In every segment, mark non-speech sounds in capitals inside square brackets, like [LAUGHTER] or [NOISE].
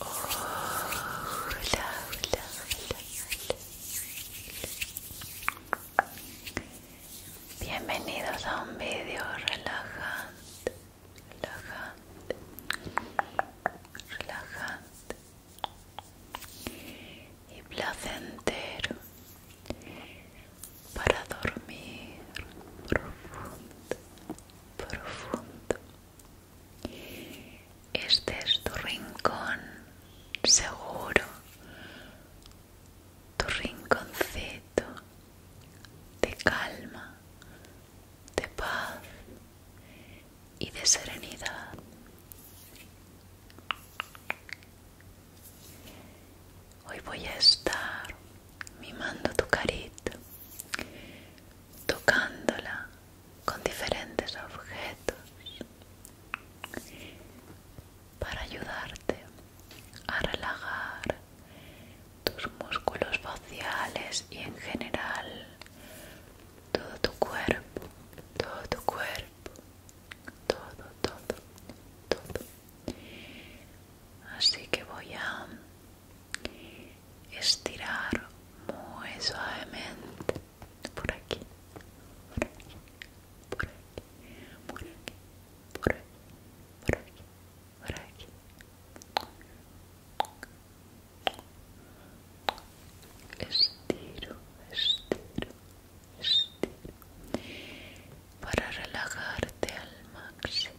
hola, Bienvenidos a un video relajante, relajante, relajante y placentero para dormir profundo, profundo. Este es tu rincón seguro, tu rinconcito de calma, de paz y de serenidad. Hoy voy a estar mimando tu carita, tocándola con diferentes objetos para ayudarte a relajar tus músculos faciales y en general todo tu cuerpo, todo tu cuerpo, todo, todo, todo. Así que voy a estirar muy suavemente por aquí, por aquí, por aquí, por aquí, por aquí, por aquí, por aquí. Estiro, estiro, estiro para relajarte al máximo.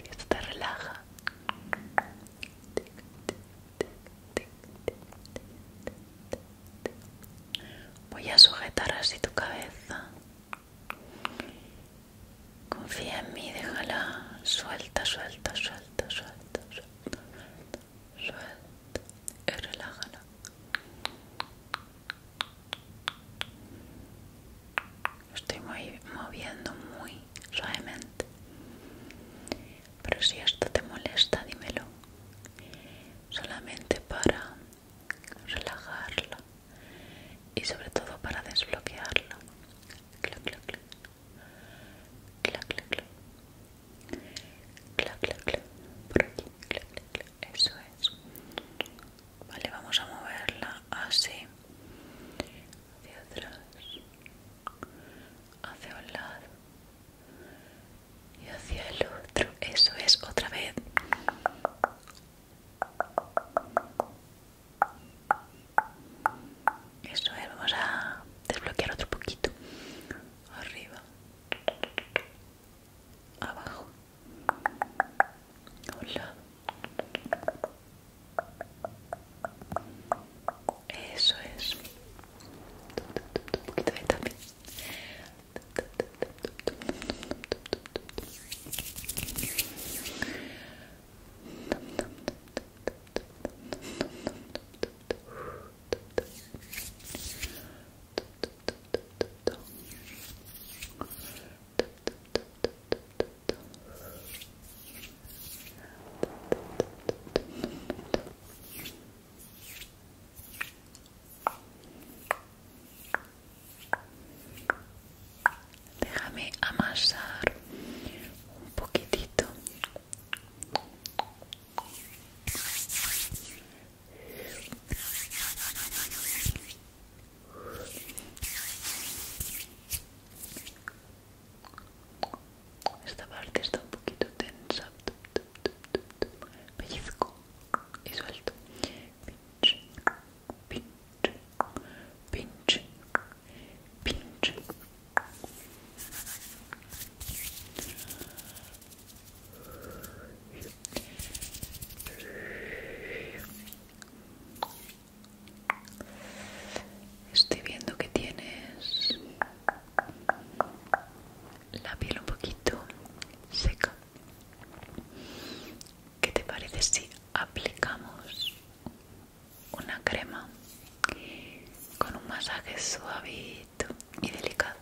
Esto te relaja. Voy a sujetar así tu cabeza. Confía en mí, déjala. suelta, suelta, suelta, suelta suelta y relájala. Estoy moviendo muy suavemente. Pero si esto te molesta, dímelo. Solamente para relajarla y sobre todo para desbloquearla clac, clac, clac, clac, clac, clac, por aquí, clac, clac, eso es. Vale, vamos a moverla así, hacia atrás, hacia un lado y hacia el otro, eso es, otra vez. Eso es, vamos a desbloquear otro poquito. Arriba. Abajo. A Eso es. Un poquito de también. Déjame amasar un poquitito esta parte está un poquito tensa. Pellizco y suelto. pinche pinche pinche Estoy viendo que tienes la piel un poquito seca. ¿Qué te parece si aplicamos una crema con un masaje suavito y delicado.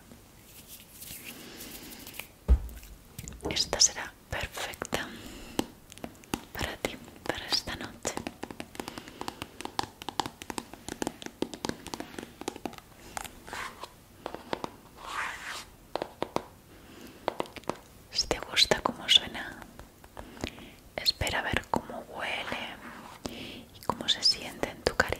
Esta será perfecta para ti, para esta noche. Si te gusta cómo suena Espera a ver cómo huele y cómo se siente en tu carita.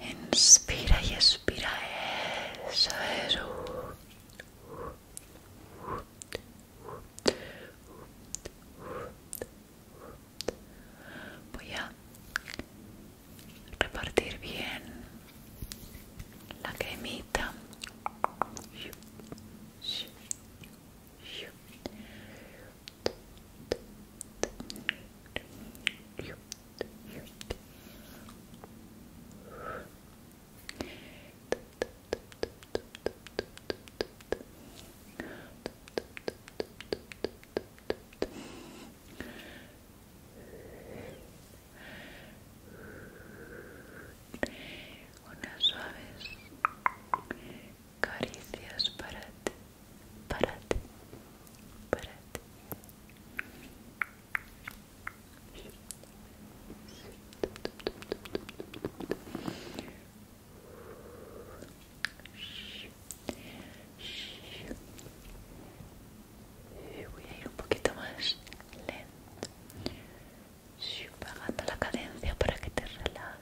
Inspira y expira. Eso Voy a repartir bien la cremita unas suaves caricias para ti para ti, Voy a ir un poquito más lento, bajando la cadencia para que te relajes.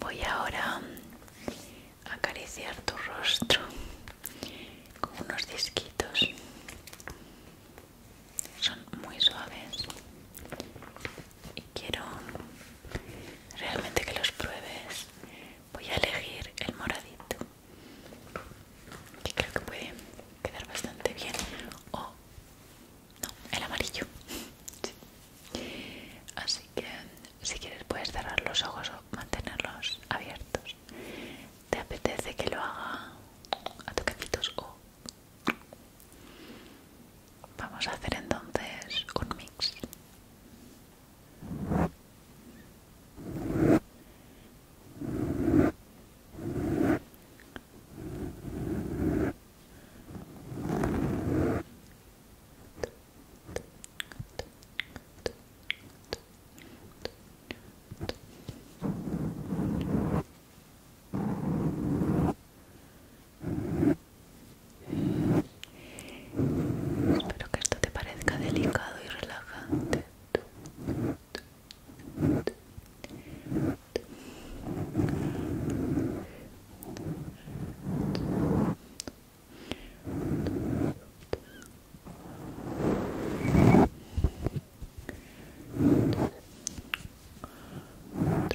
Voy ahora a acariciar tu rostro con unos disquitos. Son muy suaves y quiero realmente que los pruebes. Voy a elegir el moradito, que creo que puede quedar bastante bien. O, no, el amarillo. [LAUGHS] Así que si quieres puedes cerrar los ojos o mantenerlos abiertos. ¿Te apetece que lo haga a toquecitos o Vamos a hacer entonces un mix. Espero que esto te parezca delicado y relajante. Un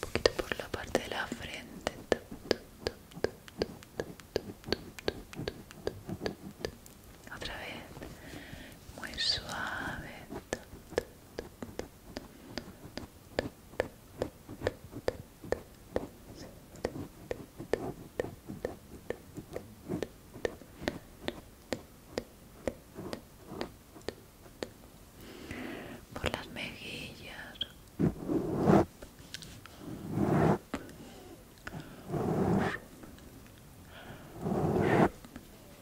poquito por la parte de la frente. Otra vez. Muy suave por las mejillas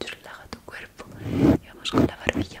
relaja tu cuerpo y vamos con la barbilla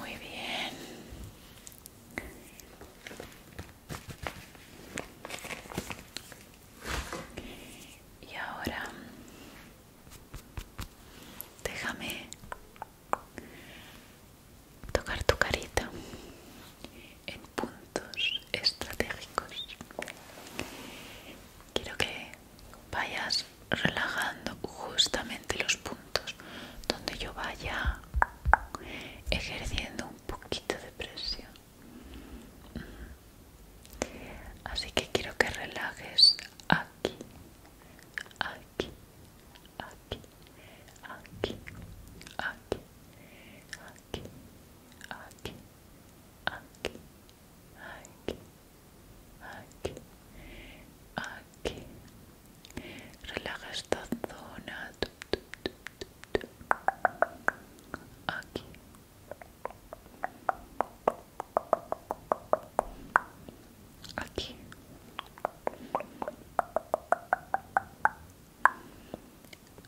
Muy bien. Y ahora déjame tocar tu carita en puntos estratégicos. Quiero que vayas relajando justamente los puntos donde yo vaya ejerciendo un poquito de presión. Así que quiero que relajes aquí aquí, aquí, aquí, aquí, aquí, aquí, aquí, aquí, aquí, aquí. Relaja esta zona. Aquí, aquí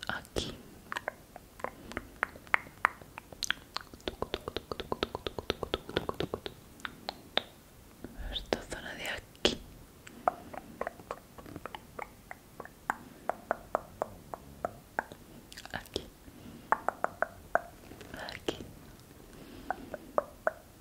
aquí esta zona de aquí aquí aquí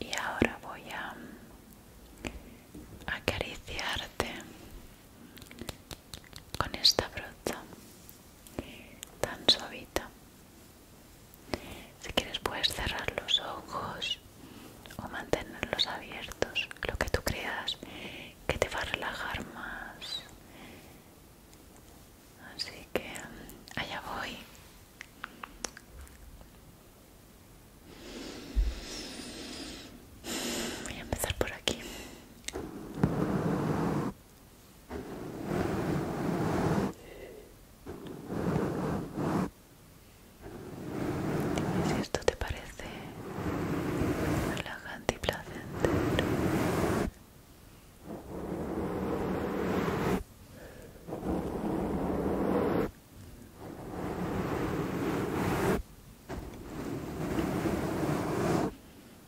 Y ahora voy a acariciarte con esta brocha tan suavita. Si quieres puedes cerrar los ojos o mantenerlos abiertos, lo que tú creas que te va a relajar más. Así que allá voy. Voy a empezar por aquí. Y si esto te parece relajante y placentero,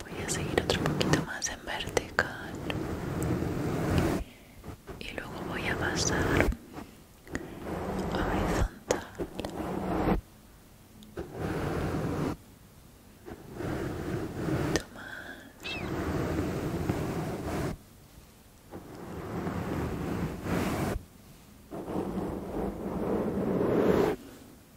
voy a seguir otro poquito más en vertical y luego voy a pasar a horizontal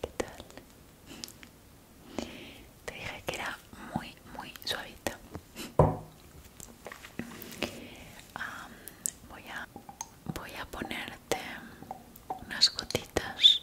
¿Qué tal? Te dije que era muy, muy suavito voy, a, voy a ponerte unas gotitas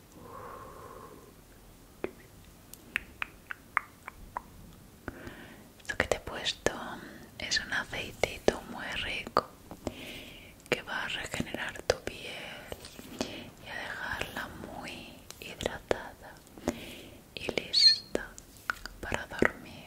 lo que te he puesto es un aceitito muy rico que va a regenerar tu piel y a dejarla muy hidratada y lista para dormir.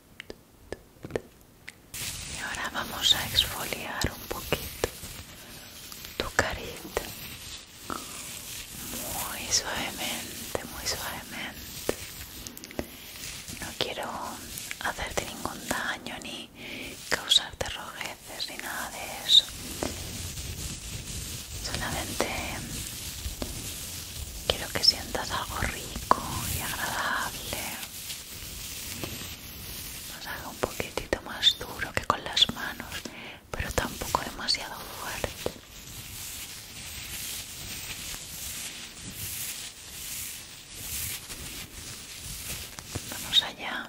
Y ahora vamos a exfoliar un poquito tu carita. Muy suavemente, muy suavemente. No quiero hacerte ningún daño ni causarte rojeces ni nada de eso. Solamente quiero que sientas algo rico y agradable nos haga un poquitito más duro que con las manos pero tampoco demasiado fuerte vamos allá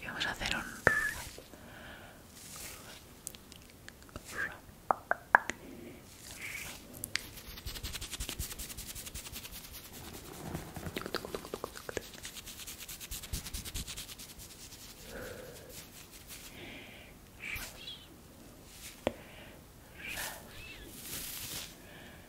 Y vamos a hacer un...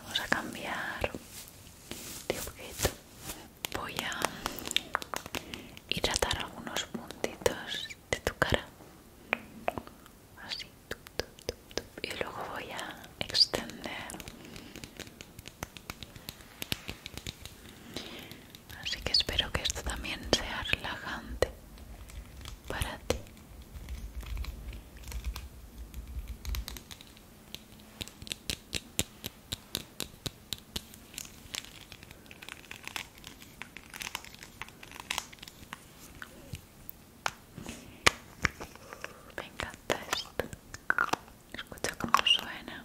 Vamos a cambiar de objeto. Voy a hidratar algunos puntitos de tu cara. Así. Y luego voy a extender. Así que espero que esto también sea relajante para ti. Me encanta esto. Escucha cómo suena.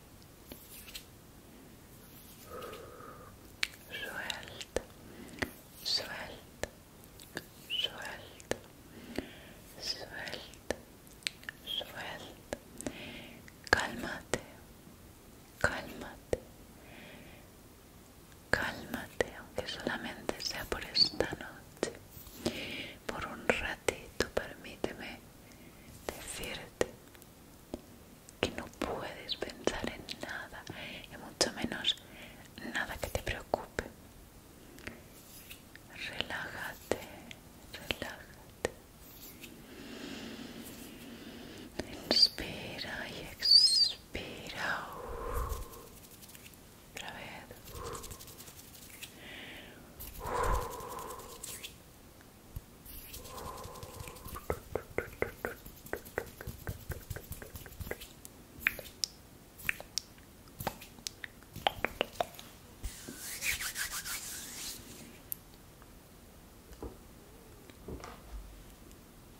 Suelta, suelta, suelta, suelta, suelta. Cálmate, cálmate, cálmate, aunque solamente sea por esta noche. Por un ratito, permíteme decirte que no puedes pensar en nada y mucho menos nada que te preocupe. Relájate, relájate. Inspira y expira. Otra vez.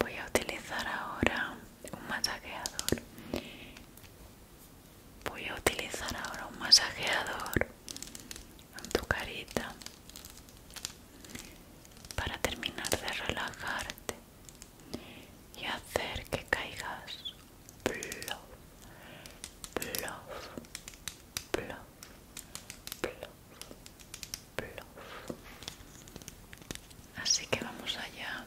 Voy a utilizar ahora un masajeador. Voy a utilizar ahora un masajeador en tu carita para terminar de relajarte y hacer que caigas plof, plof, Así que vamos allá.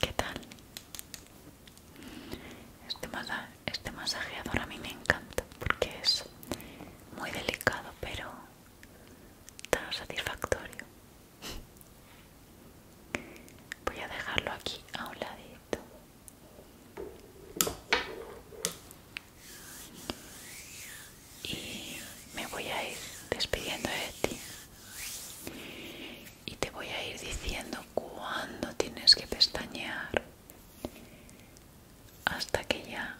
¿Qué tal? Este, este, masajeador a mí me encanta porque es muy delicado pero tan satisfactorio. Voy a dejarlo aquí a un ladito. Y me voy a ir despidiendo de ti. Y te voy a ir diciendo cuándo tienes que pestañear hasta que ya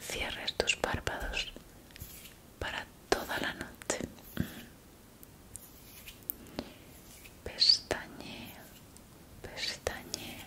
cierres tus párpados para toda la noche. pestañe pestañe.